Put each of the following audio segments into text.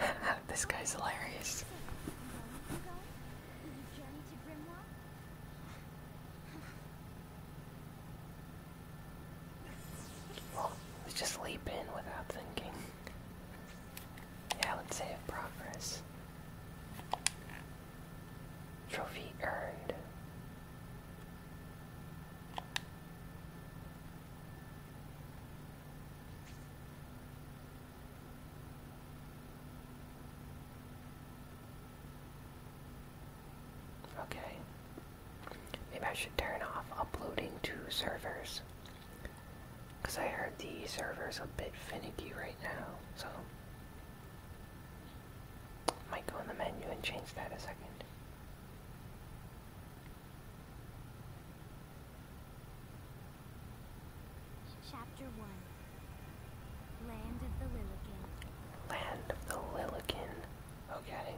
this guy's hilarious. Well, let's just leap in without thinking. Yeah, let's save progress. Trophy earned. Okay. Maybe I should turn off uploading to servers. Because I heard the server's a bit finicky right now, so might go in the menu and change that a second. Chapter 1 Land of the Lillikin. Land of the Lillikin. Okay.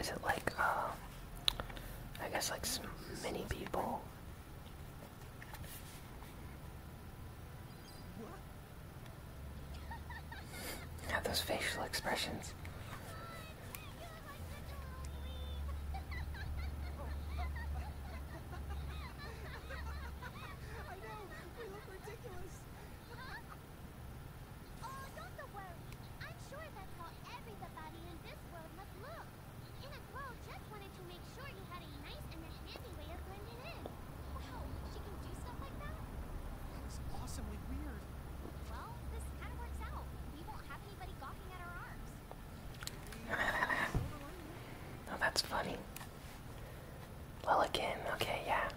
Is it like, um, I guess like many people? Have those facial expressions. Oh, don't worry. I'm sure that's how everybody in this world must look. In just wanted to make sure you had a nice and handy way of blending in. Wow, she can do stuff like that? That's awesomely weird. Well, this kind of works out. We won't have anybody gawking at our arms. oh, that's funny. Lilligan, okay, yeah.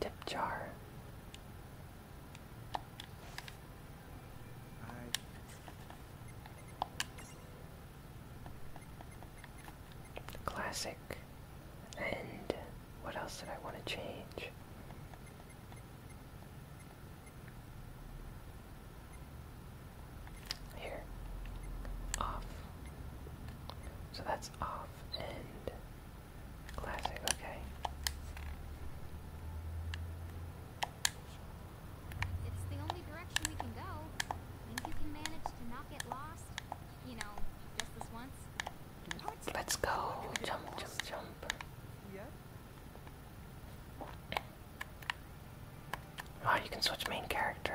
Dip jar. Classic. And what else did I want to change? Here. Off. So that's off and classic, okay. It's the only direction we can go. Think you can manage to not get lost? You know, just this once. Towards Let's go. Jump, jump, jump. Yeah. Oh, you can switch main character.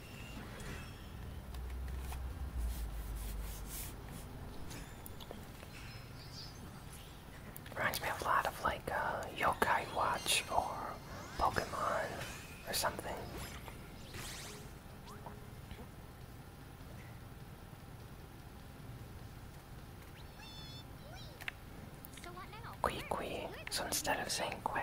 Reminds me a lot of like uh, Yokai Watch or Pokemon or something. So what instead of saying Kui,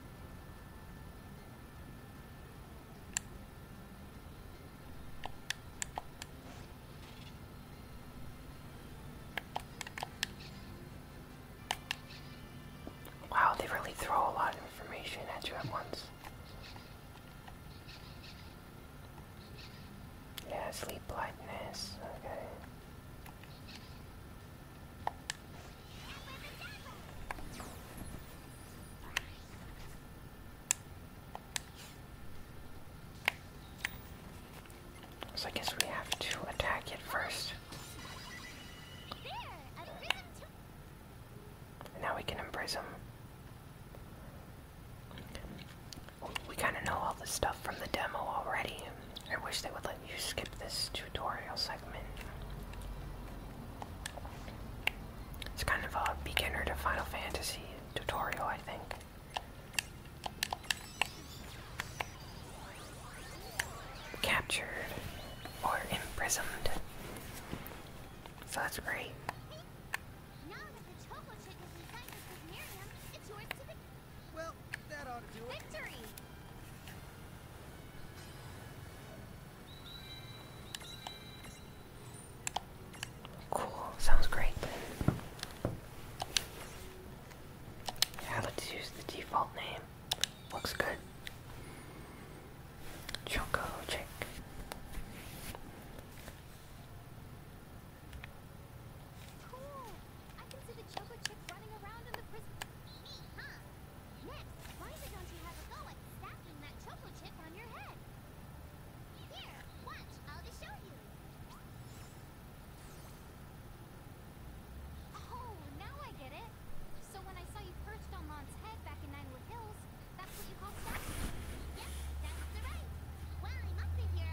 Wow, they really throw a lot of information at you at once. Yeah, sleep blindness, okay. So I guess we have to attack it first. now we can imprison. We kind of know all this stuff from the demo already, I wish they would let you skip this tutorial segment. It's kind of a beginner to Final Fantasy tutorial, I think. Captured or imprisoned. So that's great. Victory! Cool, sounds great Yeah, let's use the default name. Looks good. Choco Chick. Cool. I can see the choco chick running around in the prison. why don't you have a go at stacking that choco chip on your head? Here, watch, I'll just show you. Oh, now I get it. So when I saw you perched on Lon's head back in Ninewood Hills, that's what you called stacking. Yep, that's the right. While I'm up here,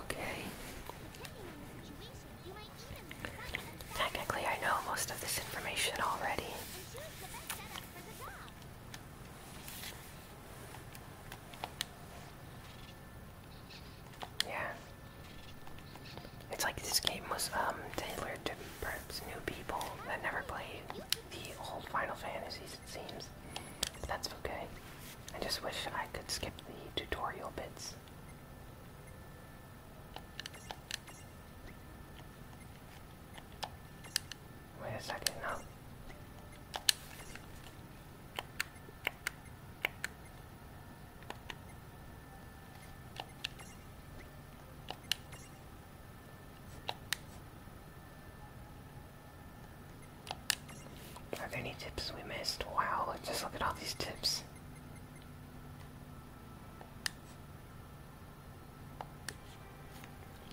Okay. Technically, I know most of this information already. Yeah. It's like this game was um, tailored to perhaps new people that never played the old Final Fantasies, it seems. That's okay. I just wish I could skip the tutorial bits. Wait a second, now. Are there any tips we missed? Wow, just look at all these tips.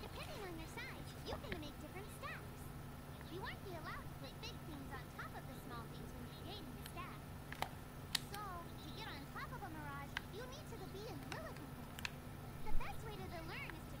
Depending on your size, you can make different stacks. You won't allowed to put big things on top of the small things when creating the stack. So, to get on top of a mirage, you need to be in Lilliput. The best way to learn is to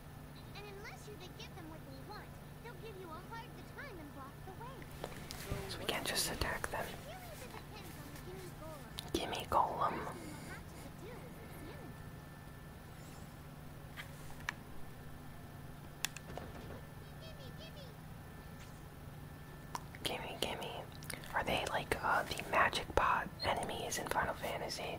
And unless you they give them what we want, they'll give you a hard time and block the way. So we can't just attack them. Gimme Golem. Gimme, gimme. Are they like uh, the magic pot enemies in Final Fantasy?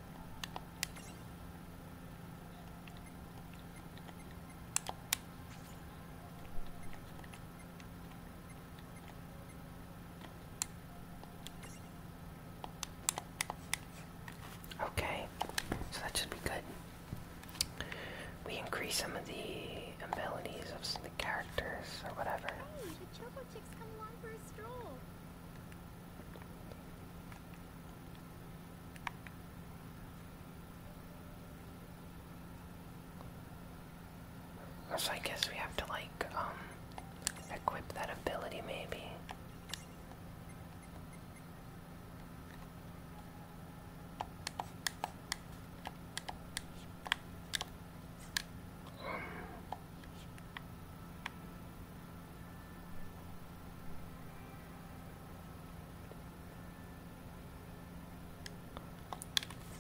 Okay, so that should be good. We increase some of the abilities of the characters or whatever. Hey, oh, the Choco come along for a stroll. So I guess we have to like, um, equip that ability maybe. Um,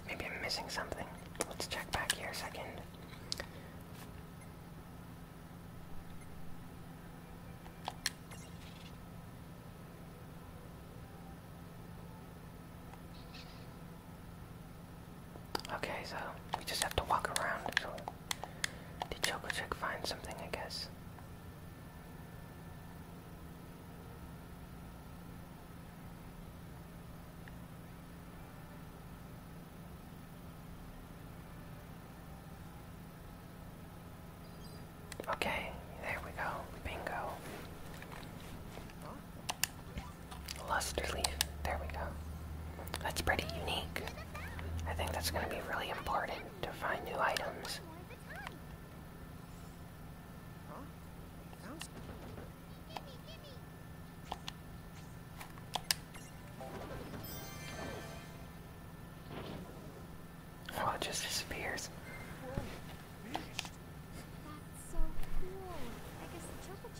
Maybe I'm missing something. Let's check back here a second. Okay, so we just have to walk around Did the Choco Chick finds something, I guess. Okay, there we go. Bingo. Luster leaf. There we go. That's pretty unique. I think that's going to be really important to find new items. Oh, it just disappears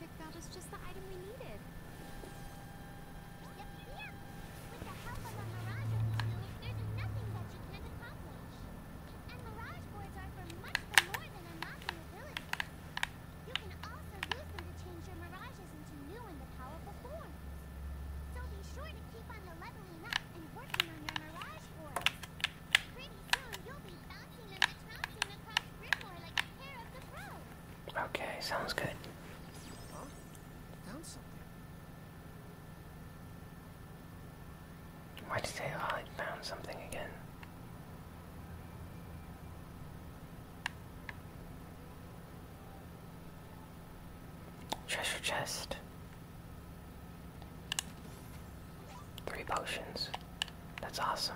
magic, that was just the item we needed. Yep, yep. With the help of a Mirage there's nothing that you can't accomplish. And Mirage Boards are for much more than unlocking ability. You can also use them to change your Mirages into new and powerful forms. So be sure to keep on leveling up and working on your Mirage Boards. Pretty soon you'll be bouncing and trouncing across Grimlore like Okay, sounds good. Huh? Found something. Why'd you say oh, I found something again? Treasure chest. Three potions. That's awesome.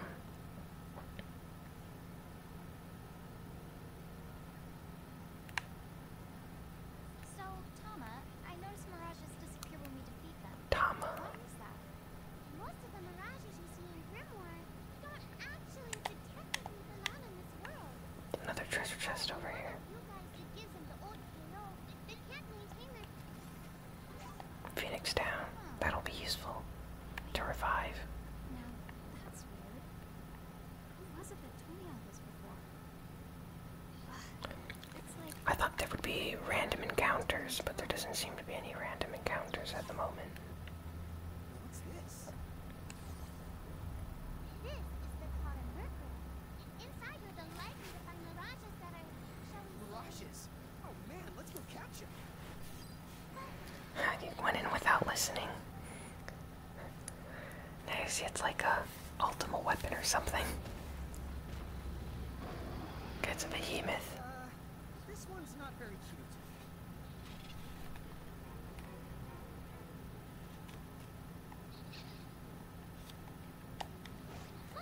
So, Tama, I noticed mirages disappear when we defeat them. Tama. Why that? Most of the mirages you see in Grimoire don't actually detectively belong in this world. Another treasure chest over here. Phoenix down. That'll be useful to revive. I thought there would be random encounters, but there doesn't seem to be any random encounters at the moment. this? is the pot Mercury. Inside are the light from the mirages that are... Mirages? Oh, you went in without listening. Now you see it's like a ultimate weapon or something. It's a behemoth. Uh,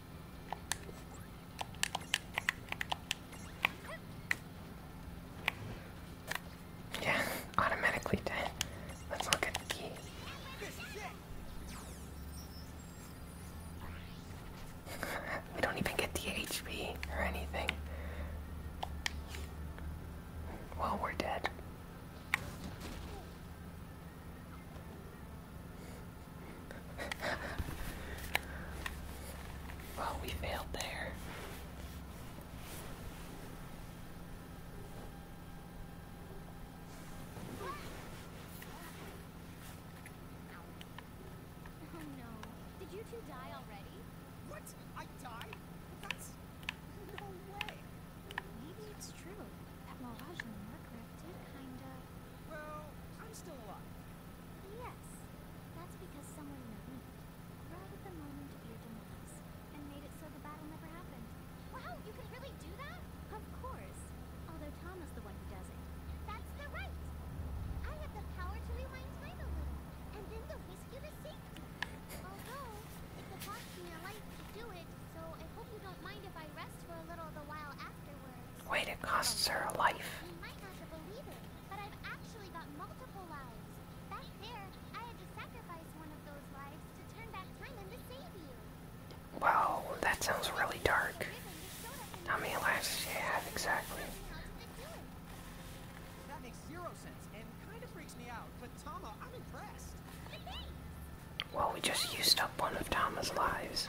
Yeah, automatically dead. Let's look at the key. we don't even get the HP or anything. Well, we're dead. well, we failed there. Oh, no. Did you two die already? What? I died? That's no way. Maybe it's true. That Mirage and Murkriff did kind of well, I'm still alive. Yes. That's because someone intervened. Right at the moment of your demise. And made it so the battle never happened. Wow, you can really do that? Of course. Although Tom is the one who does it. That's the right! I have the power to rewind time a little. And then to whisk you to safety. Although, it could me a life to do it, so I hope you don't mind if I rest for a little the while afterward. Wait, it costs her a life. You might not believe it, but I've actually got multiple lives. Back there, I had to sacrifice one of those lives to turn back time and save you. Wow, that sounds really dark. How many lives does she have exactly? That makes zero sense and kind of freaks me out, but Tama, I'm impressed. Well, we just used up one of Tama's lives.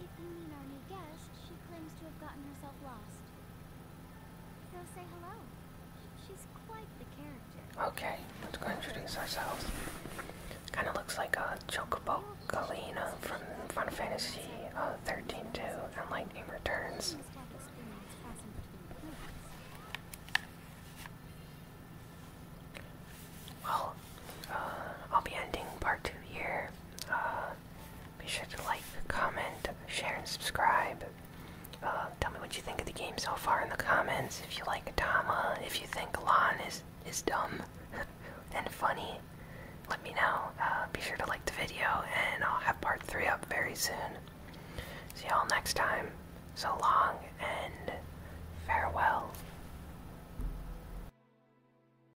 If you mean our new guest, she claims to have gotten herself lost. Go say hello. She's quite the character. Okay, let's go introduce ourselves. Kind of looks like a uh, Chocobo Galena from Final Fantasy uh, 13 2 and Lightning Returns. Well, uh, I'll be ending part two here. Uh, be sure to like, comment, share, and subscribe. Uh, tell me what you think of the game so far in the comments. If you like Adama, if you think Lon is is dumb and funny, let me know. Uh, be sure to like the video, and I'll have part three up very soon. See y'all next time. So long and farewell.